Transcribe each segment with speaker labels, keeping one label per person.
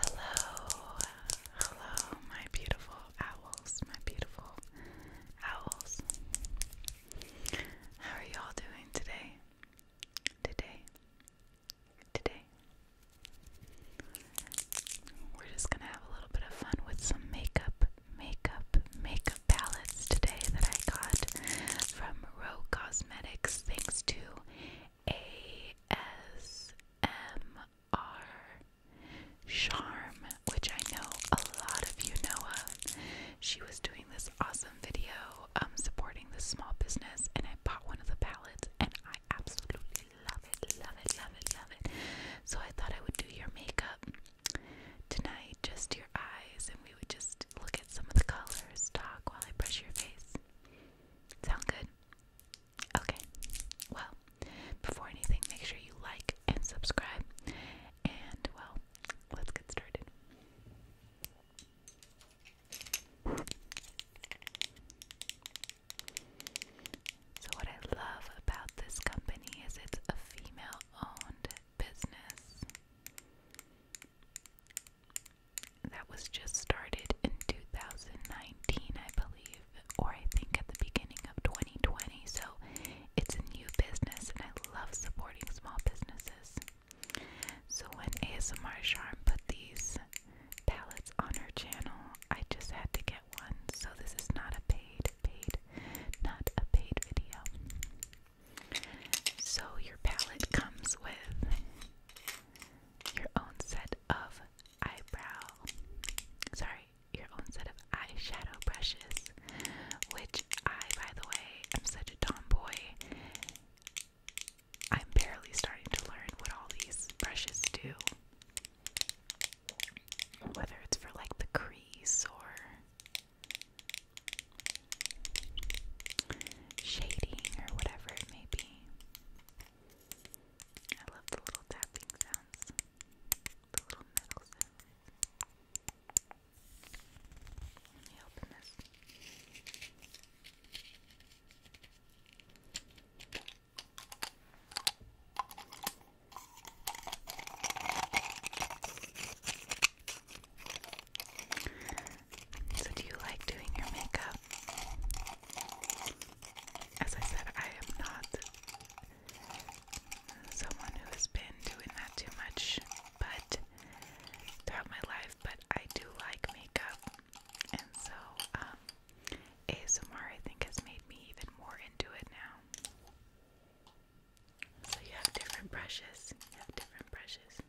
Speaker 1: Hello, hello, my beautiful owls, my beautiful owls. How are y'all doing today? Today, today. We're just gonna have a little bit of fun with some makeup, makeup, makeup palettes today that I got from Rogue Cosmetics. Thanks to ASMR Charm, which I know a lot of you know of. She was doing this awesome video um, supporting this small business, and I bought one of the palettes, and I absolutely love it, love it, love it, love it. So I thought I would do your makeup tonight, just your eyes, and we would just look at some of the colors, talk while I brush your face. Sound good? Okay. Well, before anything, make sure you like and subscribe. And, well, let's get started. So, what I love about this company is it's a female owned business that was just started in 2019, I believe, or I think at the beginning of 2020. So it's a new business, and I love supporting small businesses. So when ASMR Charm put these palettes on her channel, I just had to get one. So this is not a paid, paid, not a paid video. So your palette comes with your own set of eyebrow, sorry, your own set of eyeshadow brushes, which I, by the way, am such a tomboy. I'm barely starting to learn what all these brushes do. Whether it's for like the crease or shading or whatever it may be. I love the little tapping sounds, the little metal sounds. Let me open this. So, do you like doing your makeup? As I said, I am not someone who has been doing that too much, but throughout my life. But I do like makeup, and so um, ASMR I think has made me even more into it now. So you have different brushes. You have different brushes.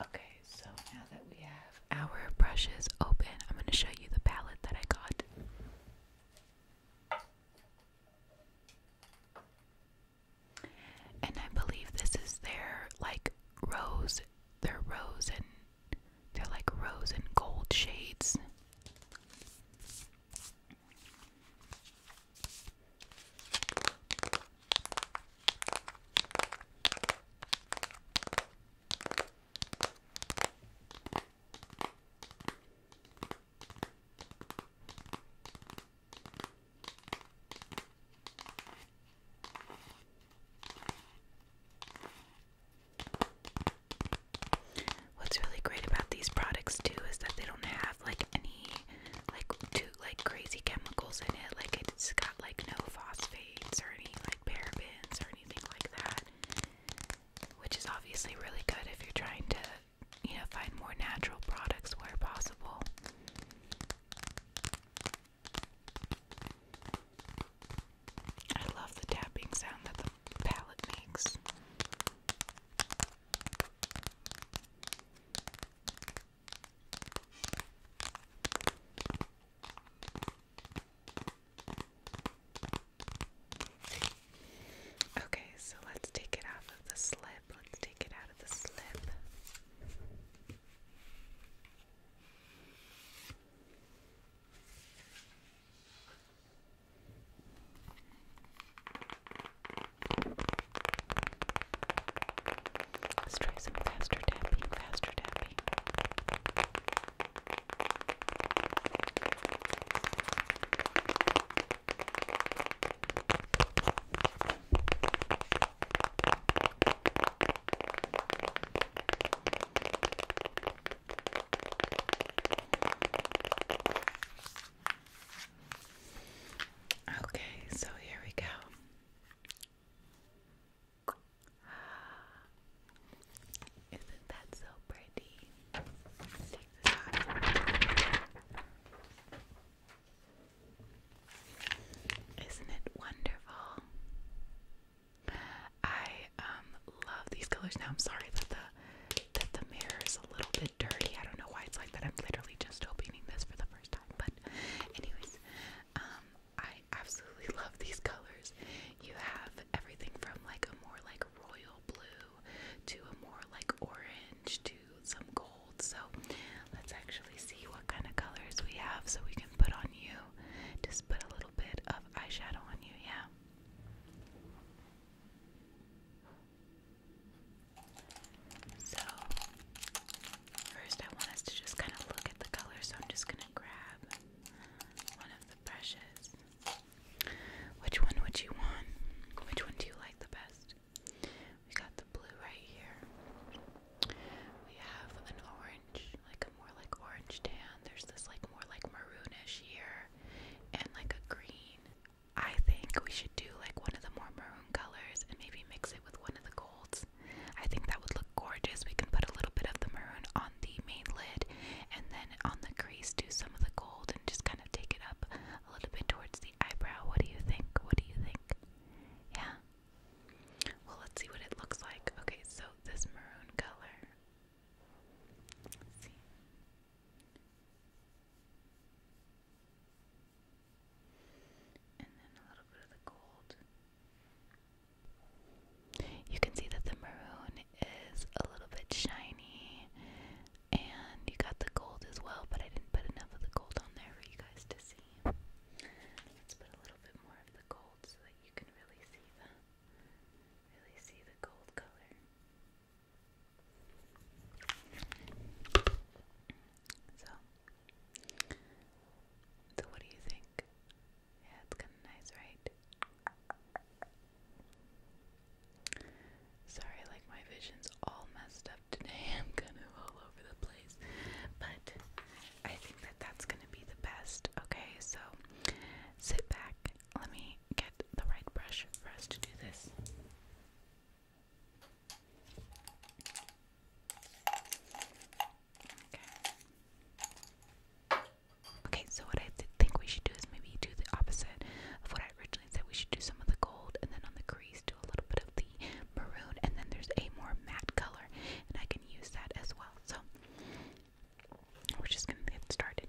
Speaker 1: Okay, so now that we have our brushes open. I'm going to show you the palette that I got. And I believe this is their like rose, their rose and they're like rose and gold shades. What's really great about these products too is that they don't have like any like too like crazy chemicals in it. Like it's got like no phosphates or any like parabens or anything like that which is obviously really good if you're trying to, you know, find more natural products where possible. I love the tapping sound that the palette makes. Okay, so let's take it off of the slip. Let's take it out of the slip. Let's try some faster tapping, faster tapping. Okay, so here we go. Isn't that so pretty? Isn't it wonderful? I um love these colors. Now I'm sorry that the that the mirror is a little bit dirty. I don't know why it's like that. I'm literally just opening this for the first time. But anyways, um I absolutely love these colors. You have everything from like a more like royal blue to a more like orange to some gold. So let's actually see what kind of colors we have so we can put on you. Just put a little bit of eyeshadow on you, yeah. So, first, I want us to just kind of look at the color, so I'm just going to grab one of the brushes. Which one would you want? Which one do you like the best? We got the blue right here. We have an orange, like a more like orange tan. There's this like more like maroonish here, and like a green. I think we should do like one of the more maroon colors and maybe mix it with one of the golds. I think that would look gorgeous. We can put a little bit of the maroon on the main lid and then on the crease do some of the gold and just kind of take it up a little bit towards the eyebrow. What do you think? What do you think? Yeah. Well, let's see what it looks like. Okay, so this maroon color. Let's see. And then a little bit of the gold. You can see that the maroon is a little bit shiny, and you got the gold as well, but I didn't put enough of the gold on there for you guys to see. Let's put a little bit more of the gold so that you can really see the really see the gold color. So, so what do you think? Yeah, it's kind of nice, right? Sorry, like my vision's all messed up today. I'm kind of all over the place. But I think that that's going to be the best. Okay, so sit back. Let me get the right brush for us to do this. Okay. Okay, so what I think we should do is maybe do the opposite of what I originally said. We should do some of the gold and then on the crease do a little bit of the maroon and then there's a more matte color and I can use that as well. So we're just gonna get started.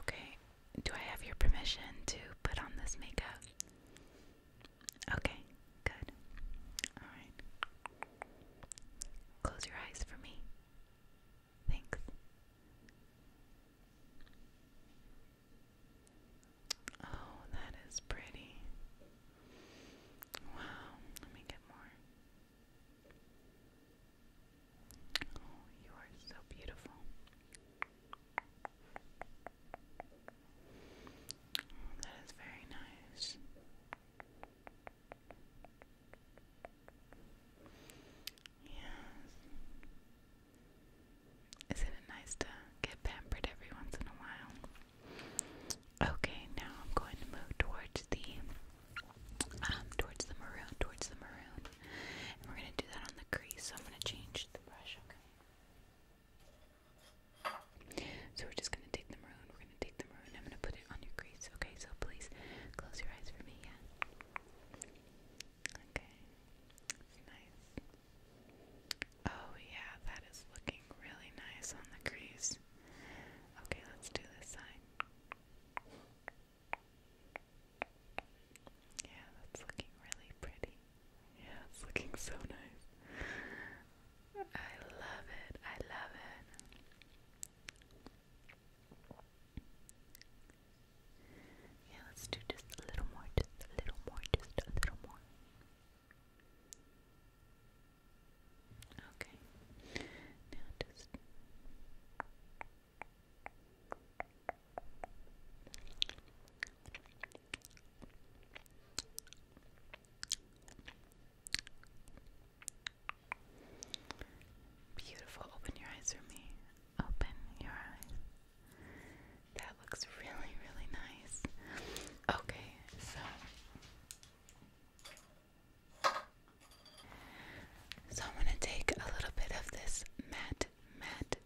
Speaker 1: Okay, do I have your permission to put on this makeup? Okay, good. Alright. Close your eyes for me. Thanks. Oh, that is pretty. Wow, let me get more. Oh, you are so beautiful. Oh, that is very nice. Yes. is it nice to get pampered every once in a while? Okay, now I'm going to move towards the um towards the maroon, towards the maroon. we're gonna do that on the crease, so I'm gonna change the brush, okay? So we're just gonna take the maroon, we're gonna take the maroon, I'm gonna put it on your crease, okay? So please close your eyes for me, yeah? Okay. Nice. Oh yeah, that is looking really nice on the crease. Okay, let's do this side. Yeah, that's looking really pretty. Yeah, it's looking so nice. I love it. I love it. Yeah, let's do just a little more, just a little more, just a little more. Okay. Now just Beautiful. Open your eyes for me. Open your eyes. That looks really, really nice. Okay, so. So I'm going to take a little bit of this matte, matte,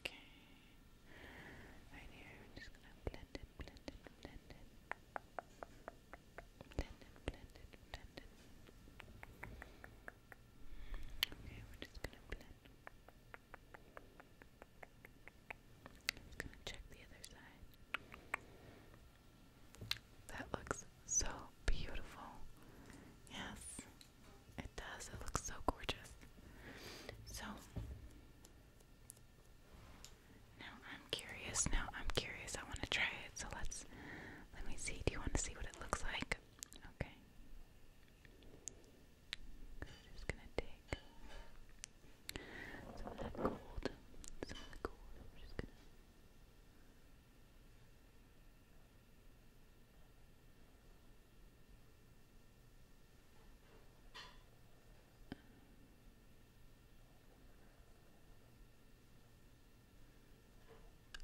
Speaker 1: Okay. Right here, we're just gonna blend it, blend it, blend it. Blend it, blend it, blend it. Okay, we're just gonna blend. gonna check the other side. That looks so beautiful. Yes. It does. It looks so gorgeous. So now I'm curious. Now I'm curious. I want to try it. So let's let me see. Do you want to see what it looks like? Okay. just gonna take some of that gold. Some of the gold. just gonna.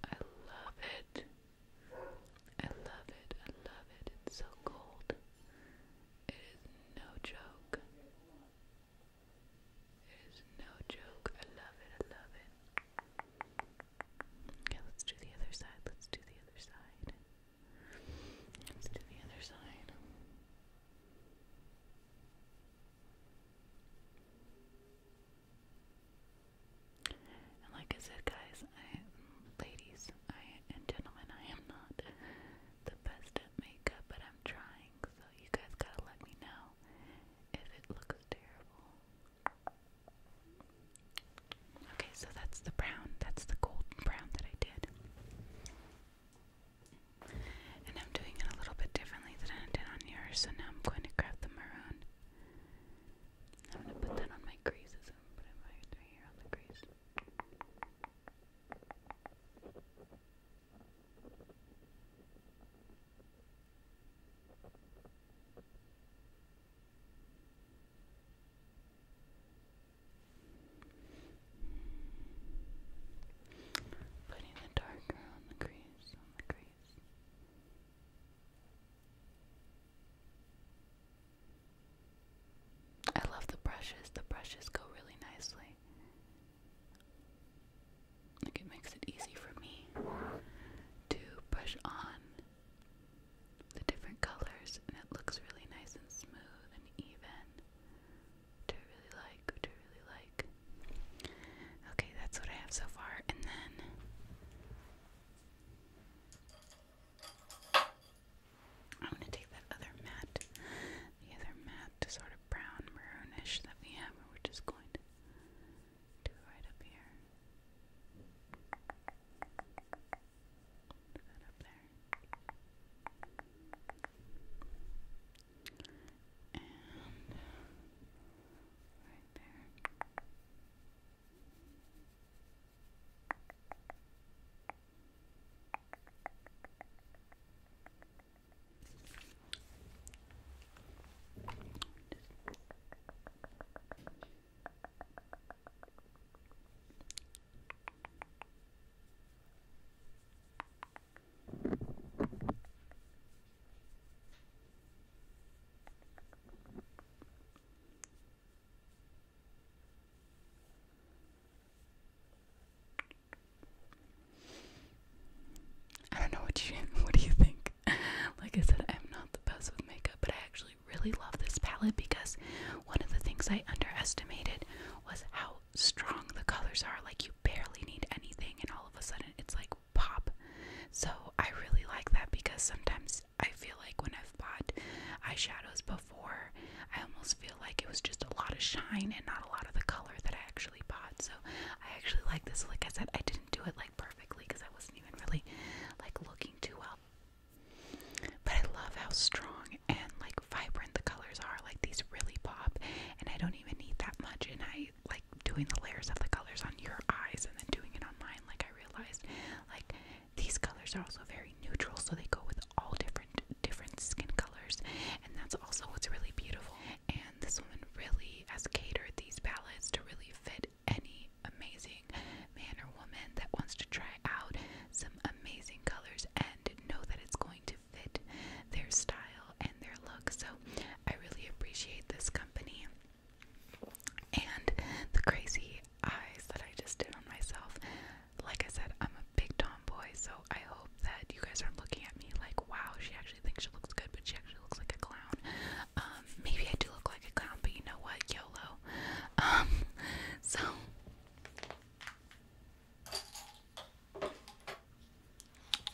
Speaker 1: I love it. I love it. I love it. It's so cold. It is no joke. It is no joke. I love it. I love it. Okay, let's do the other side. Let's do the other side. Let's do the other side. And like I said, guys, ladies, I and gentlemen, I am not the best at makeup, but I'm trying. So you guys gotta let me know if it looks terrible. Okay, so that's the brown. That's the golden brown that I did. And I'm doing it a little bit differently than I did on yours, so now I'm going to grab the maroon. I'm going to put that on my creases and put it right here on the crease. Putting the darker on the crease, on the crease. I love the brushes. The brushes go really nicely. Like it makes it easy for me to brush on the different colors and it looks really nice and smooth and even. Which really like, which really like. Okay, that's what I have so far, and then I'm gonna take that other matte, the other matte sort of brown maroonish that we have, we're just going to do right up here. Do that up there. And right there. I don't know what you what do you think? like I said, I'm not the best with makeup, but I actually really love this palette because one of the things I underestimated was how strong the colors are. Like, you barely need anything, and all of a sudden it's like pop. So, I really like that because sometimes I feel like when I've bought eyeshadows before, I almost feel like it was just a lot of shine and not a lot of the color that I actually bought. So, I actually like this. Like I said, I didn't do it like perfectly because I wasn't even really like looking too well. But I love how strong and like vibrant the colors are. Like these really pop, and I don't even need that much. And I like doing the layers of the colors on your eyes and then doing it on mine. Like I realized, like these colors are also very neutral, so they go with all different different skin colors, and that's also what's really beautiful. And this woman really has catered these palettes to really fit any amazing man or woman that wants to try out some amazing colors and know that it's going to fit their style and their look. So I really appreciate this company and the crazy eyes that I just did on myself. Like I said, I'm a big tomboy, so I hope that you guys aren't looking at me like, wow, she actually thinks she looks good, but she actually looks like a clown. Um, maybe I do look like a clown, but you know what? YOLO. Um, so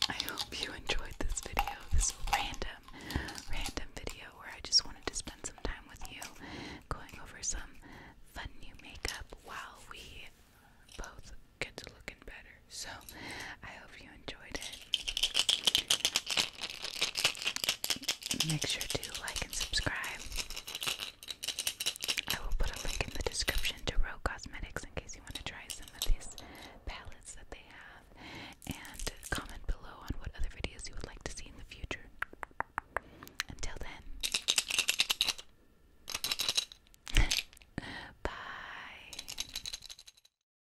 Speaker 1: I hope you enjoyed this video, this random, random video where I just wanted to spend some time with you going over some fun new makeup while we both get to looking better. So I hope you enjoyed it, make sure to like and subscribe. I will put a link in the description to Rogue Cosmetics in case you want to try some of these palettes that they have. And comment below on what other videos you would like to see in the future. Until then, bye.